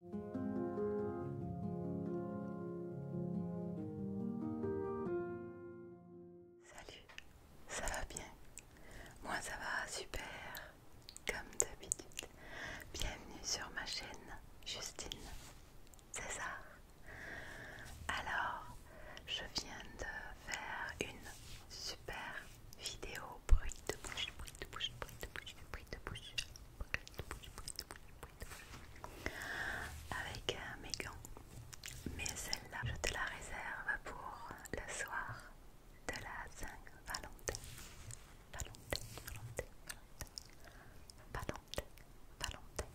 Salut, ça va bien Moi ça va super, comme d'habitude. Bienvenue sur ma chaîne Justine César. Alors, je viens de faire une super vidéo bruit de bouche, bruit de bouche, bruit de bouche, bruit de bouche avec euh, mes gants. Mais celle-là, je te la réserve pour le soir de la Saint-Valentin. Valentin, Valentin, Valentin, Valentin.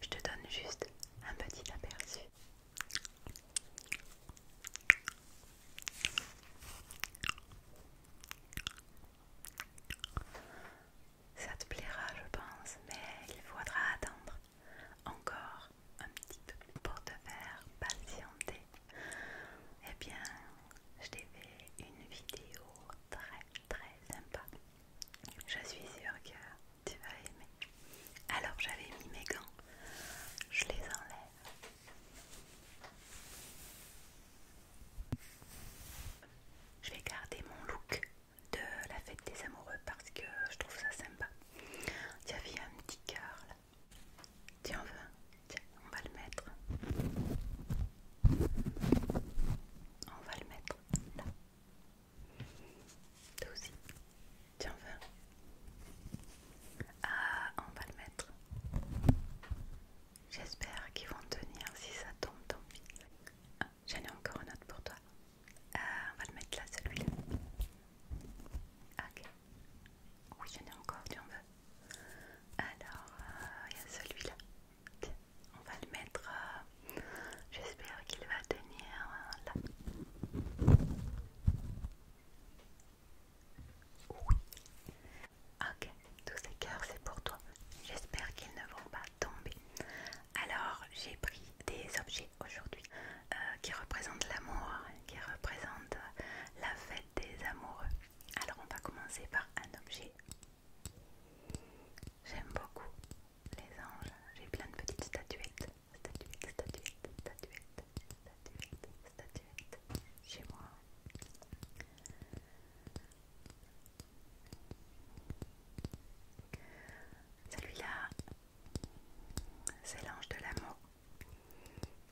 Je te donne juste un petit aperçu. Ça te plaira, je pense, mais il faudra attendre encore un petit peu pour te faire patienter. Eh bien, je t'ai fait une vidéo très très sympa. Je suis sûre que tu vas aimer. Alors, j'avais mis mes gants, je les enlève. Je vais garder mon look de la fête des amoureux parce que je trouve ça sympa. Il y un petit cœur là. Tiens, on va, Tiens, on va le mettre. On va le mettre là. Toi aussi. Tiens, on va. Ah, on va le mettre. J'espère qu'ils vont tenir. Si ça tombe, tant pis. Ah, J'en ai encore une autre pour toi. Ah, on va le mettre là, celui-là. Ok. Oui, j'en ai encore, tu en veux. Alors, euh, il y a celui-là. on va le mettre. Euh, j'espère qu'il va tenir euh, là. Oui. Ok, tous ces cœurs c'est pour toi. J'espère qu'ils ne vont pas tomber. Alors j'ai pris des objets aujourd'hui euh, qui représentent l'amour, qui représentent euh, la fête des amoureux. Alors on va commencer par un objet. J'aime beaucoup les anges. J'ai plein de petites statuettes statuette, statuette, statuette, statuette, statuette, chez moi. Celui-là, c'est l'ange de l'amour.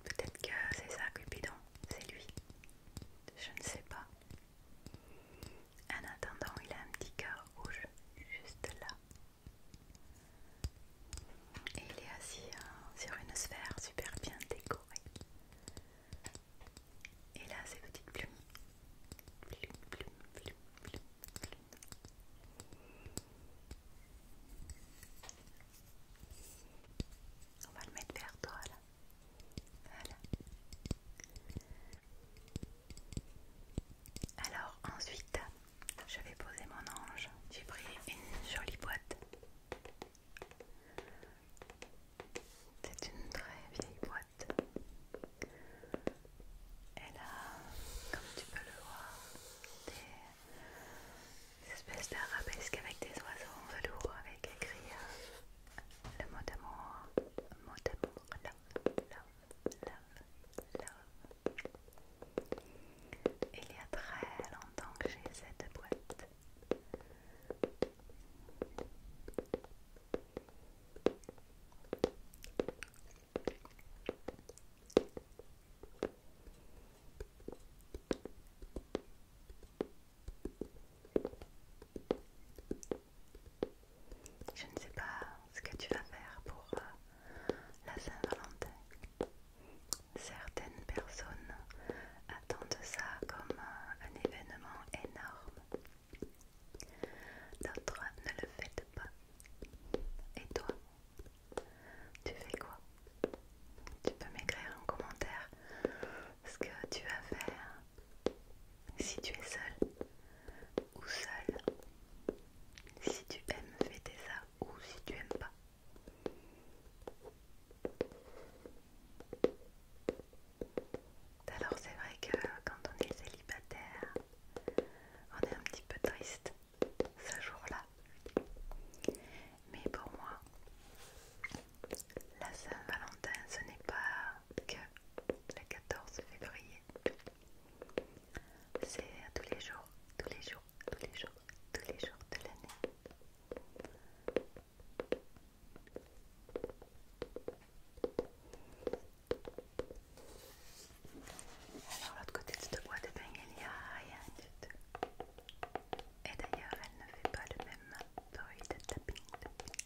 Peut-être que c'est ça, Cupidon, c'est lui. Je ne sais pas. En attendant, il a un petit cœur rouge juste là. Et il est assis euh, sur une sphère super bien décorée. Et là, ces petites plumes. Plume, plume, plume, plume, plume. On va le mettre vers toi là. Voilà. Alors ensuite, je vais poser mon ange. J'ai pris une jolie boîte. C'est une très vieille boîte. Elle a, comme tu peux le voir, des espèces d'arabesques avec des oiseaux en velours avec écrit euh, le mot d'amour, mot d'amour, love, love, love, love. Il y a très longtemps que j'ai cette boîte. Je ne sais pas ce que tu vas faire pour euh, la Saint-Valentin. Certaines personnes attendent ça comme euh, un événement énorme. D'autres ne le fêtent pas. Et toi, tu fais quoi Tu peux m'écrire en commentaire ce que tu vas faire si tu es seul ou seul. Si tu aimes, fêter ça ou si tu aimes pas. Alors c'est vrai que quand on est célibataire, on est un petit peu triste ce jour-là. Mais pour moi, la Saint-Valentin, ce n'est pas que le 14 février. C'est tous les jours, tous les jours, tous les jours, tous les jours de l'année. Alors, l'autre côté de cette boîte, ben, il n'y a rien du tout. Et d'ailleurs, elle ne fait pas le même bruit de tapping,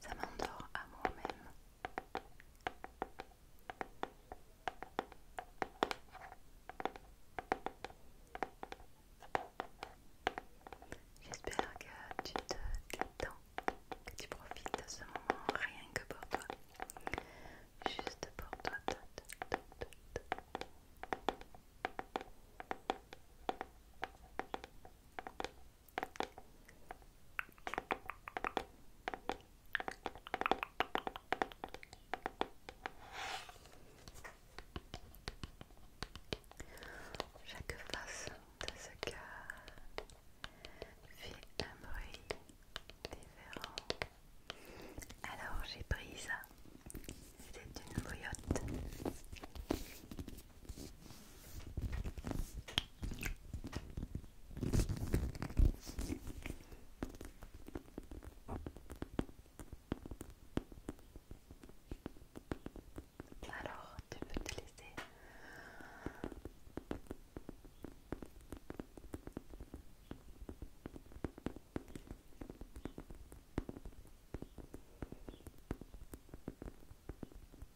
Ça m'endort à moi-même. J'espère que tu te détends, que tu profites de ce moment rien que pour toi. Juste pour toi. Chaque face de ce cœur fait un bruit différent. Alors j'ai pris ça. C'est une bouillotte. Alors, tu peux te laisser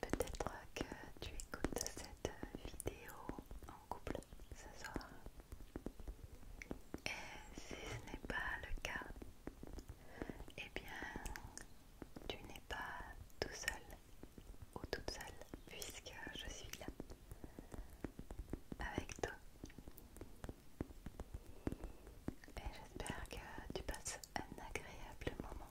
Peut-être que tu écoutes cette vidéo en couple ce soir. Et si ce n'est pas le cas, eh bien, tu n'es pas tout seul ou toute seule puisque je suis là avec toi et j'espère que tu passes un agréable moment.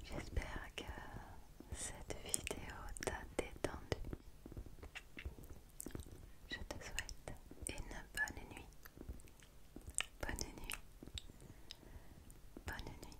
J'espère que cette vidéo t'a détendu. Je te souhaite une bonne nuit. Bonne nuit. Bonne nuit.